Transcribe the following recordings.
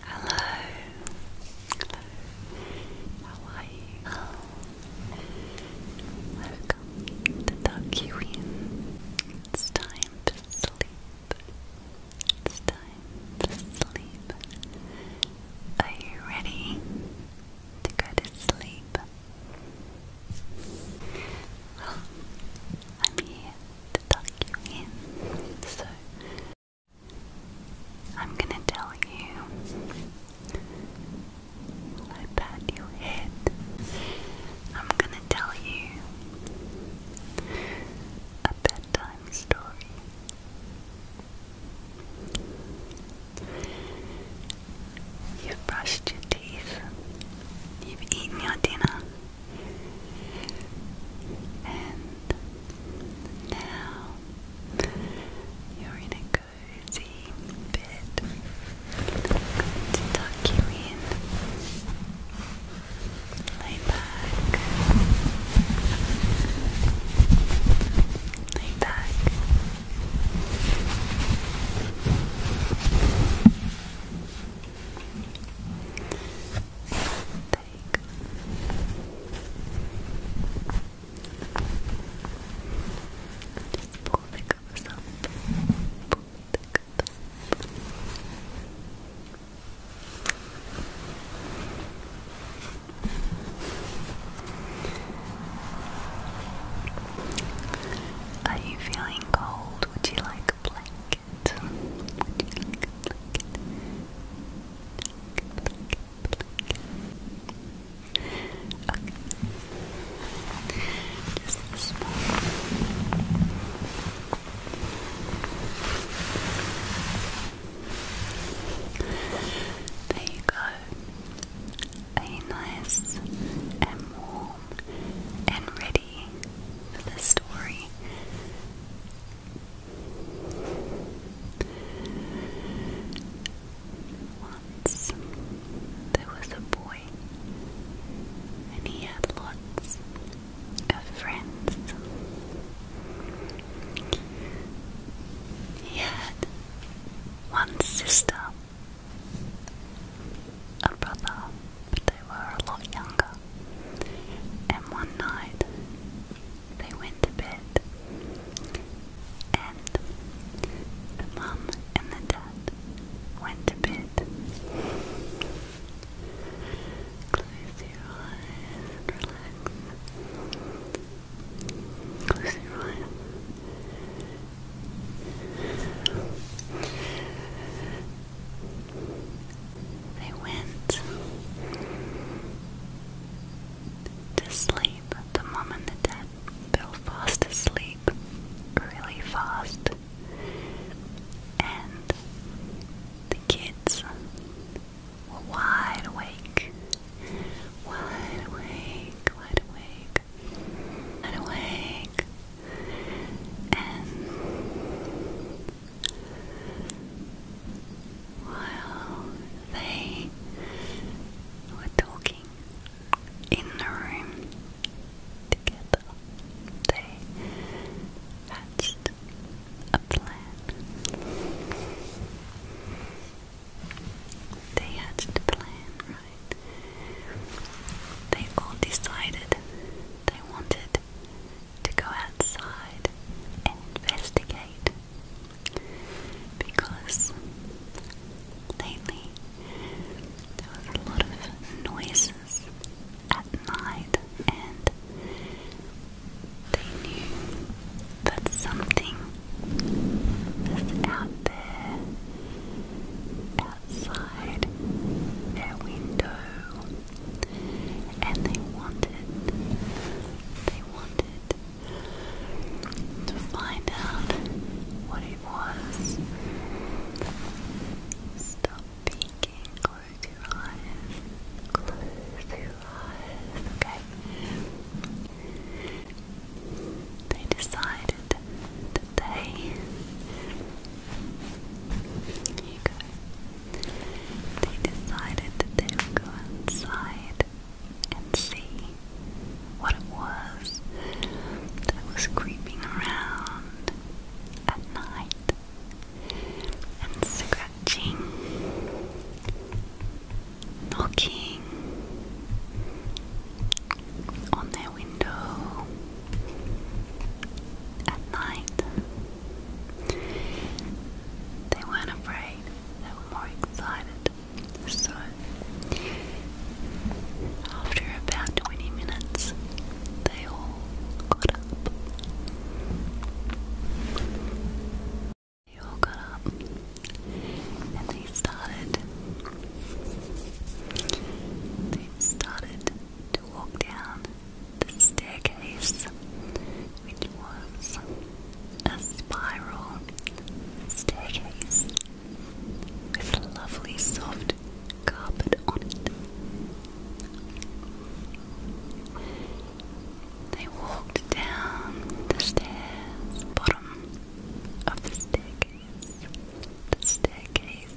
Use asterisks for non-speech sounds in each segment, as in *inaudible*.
Hello. Hello. How are you? Welcome to Dark Queen. It's time to sleep. It's time to sleep. Are you ready to go to sleep? Well, I'm here to tuck you in, so I'm gonna tell you. I pat your head. I'm gonna tell you a bedtime story. You've brushed your teeth. You've eaten your dinner. And now you're in a cozy bed. I'm going to tuck you in. Lay back. Lay back think. the covers up. Pull the covers up. Are you feeling cold? Would you like a blanket? it? you There you go. Are nice and warm and ready for the story? Once there was a boy, and he had lots of friends. He had one sister, a brother, but they were a lot younger and one night they went to bed, and the mum and the dad went to bed. Close your eyes Close your eyes. They went to sleep. The mum and the dad fell fast asleep, really fast, and the kids were wide awake, wide awake, wide awake, wide awake, and while they were talking in the room together. They hatched a plan. They hatched a plan, right? They all decided they wanted to go outside and investigate because lately there was a lot of noises at night and they knew that something was out there outside their window and they wanted they wanted to find out what it was. Stop peeking, close your eyes, close your eyes, okay? They decided that they they decided that go inside and see what it was that was creeping around at night and scratching, knocking on their window at night. They weren't afraid, they were more excited. So, after about 20 minutes, they all got up. They all got up and they started. They started to walk down the staircase, which was a spiral staircase with a lovely soft carpet on it. They walked down the stairs, bottom of the staircase, the staircase,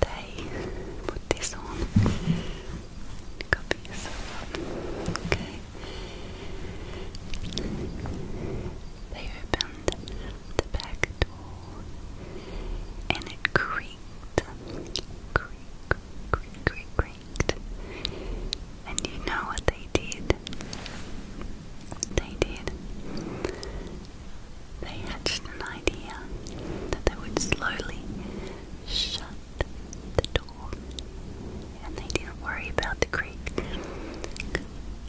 they put this on. Okay. They opened the back door and it creaked. Creak, creak, creak, creaked. And you know what they did? They did. They hatched an idea that they would slowly shut the door, and they didn't worry about the creek.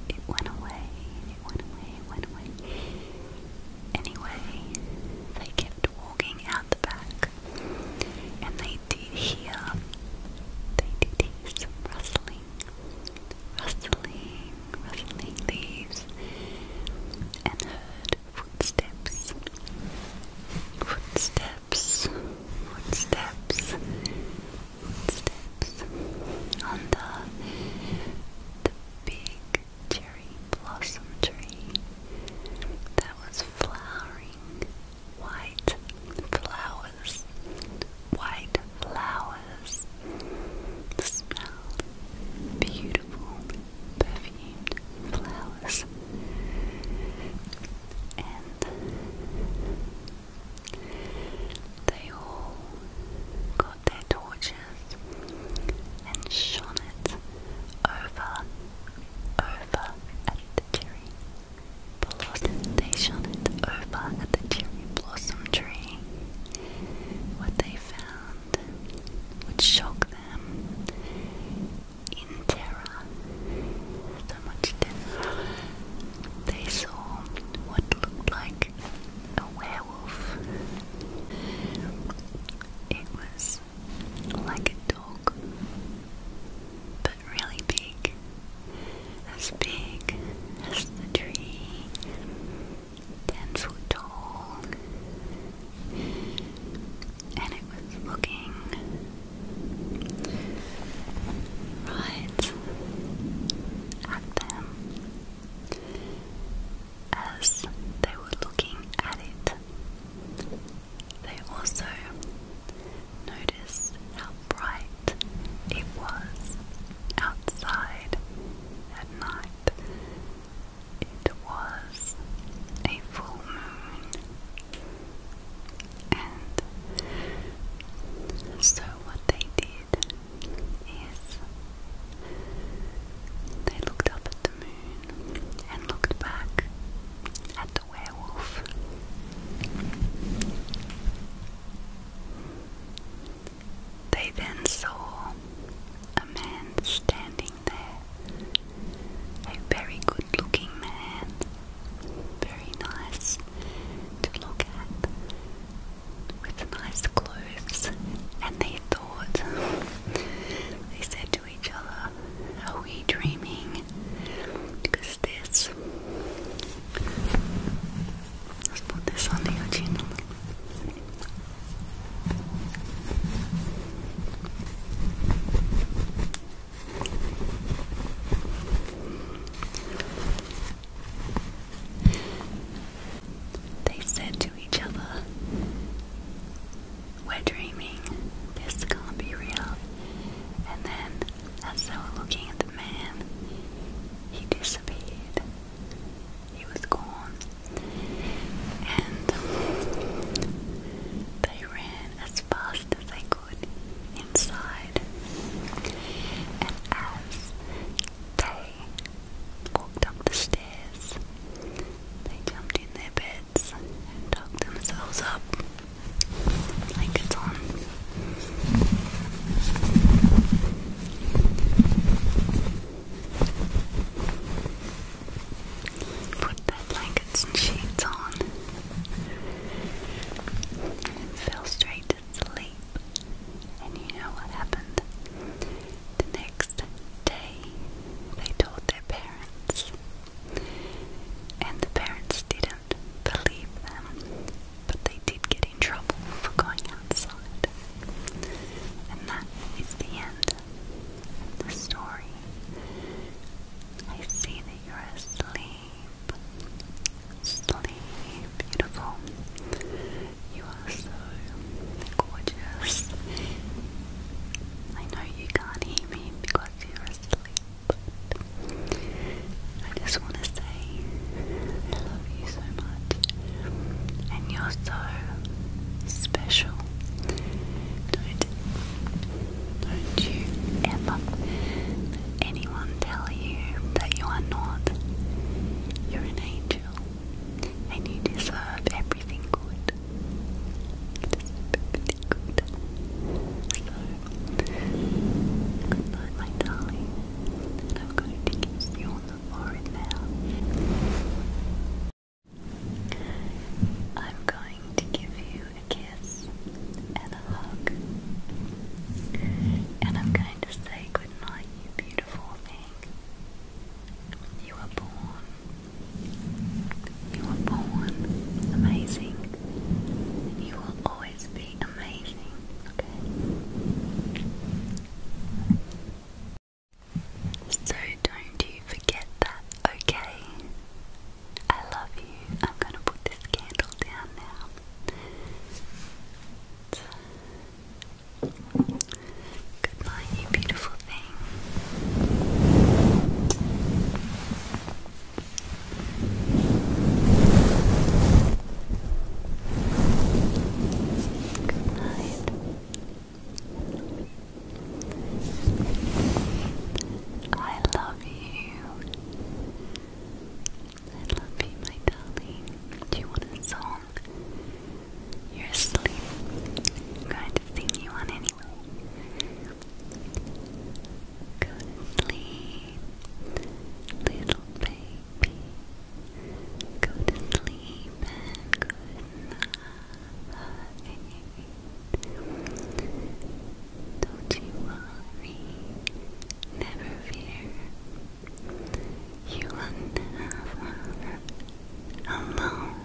It went away, it went away, it went away. Anyway, they kept walking out the back, and they did hear, they did hear some rustling, rustling, rustling leaves, and heard footsteps, footsteps, footsteps, footsteps on the, the big cherry blossom tree that was flowering white flowers, white flowers. The beautiful, perfumed flowers and they all got their torches and shone it over, over at the cherry blossom. They shone it over at the cherry blossom tree. What they found would shock them in terror, so much terror, they saw what looked like a werewolf. It was like a dog, but really big, as big as the tree, ten foot tall, and it was looking right at them as they were looking at it. They also noticed how bright it was outside at night it was a full moon, and so what they did is they looked up at the moon and looked back at the werewolf. They then saw a man standing standing there. A very good looking man. Very nice to look at. With nice clothes. And they thought, *laughs* they said to each other, Are we dreaming? Because this. Let's put this under your chin. They said to each other, We're dreaming, this can't be real. And then, as they were looking at the man, he disappeared he was gone, and they ran as fast as they could inside. And as they walked up the stairs, they jumped in their beds and tucked themselves up blankets on. Put that blankets and sheets on and fell straight to sleep. And you know what happened? The next day, they told their parents, and the parents didn't believe them, but they did get in trouble for going outside. And that is the end the story. I see that you're asleep. Sleep, beautiful. You are so gorgeous. I know you can't hear me because you're asleep, I just want to say I love you so much, and you're so special don't, don't you ever anyone tell you that you are not. You're an angel and you deserve everything good. everything good. So, my darling. I'm going to kiss you on the forehead now. I'm going to give you a kiss and a hug. And I'm going to say goodnight, you beautiful thing. You were born. You were born amazing. And you will always be amazing, okay? So don't you forget that, okay? I love you. I'm going to put this candle down now. Good night, you beautiful thing. Good night. I love you. I love darling. Do you want a song? You're asleep. I'm going to sing you one anyway. Go sleep, little baby. Go sleep and good night. Don't you worry, never fear. You are never alone.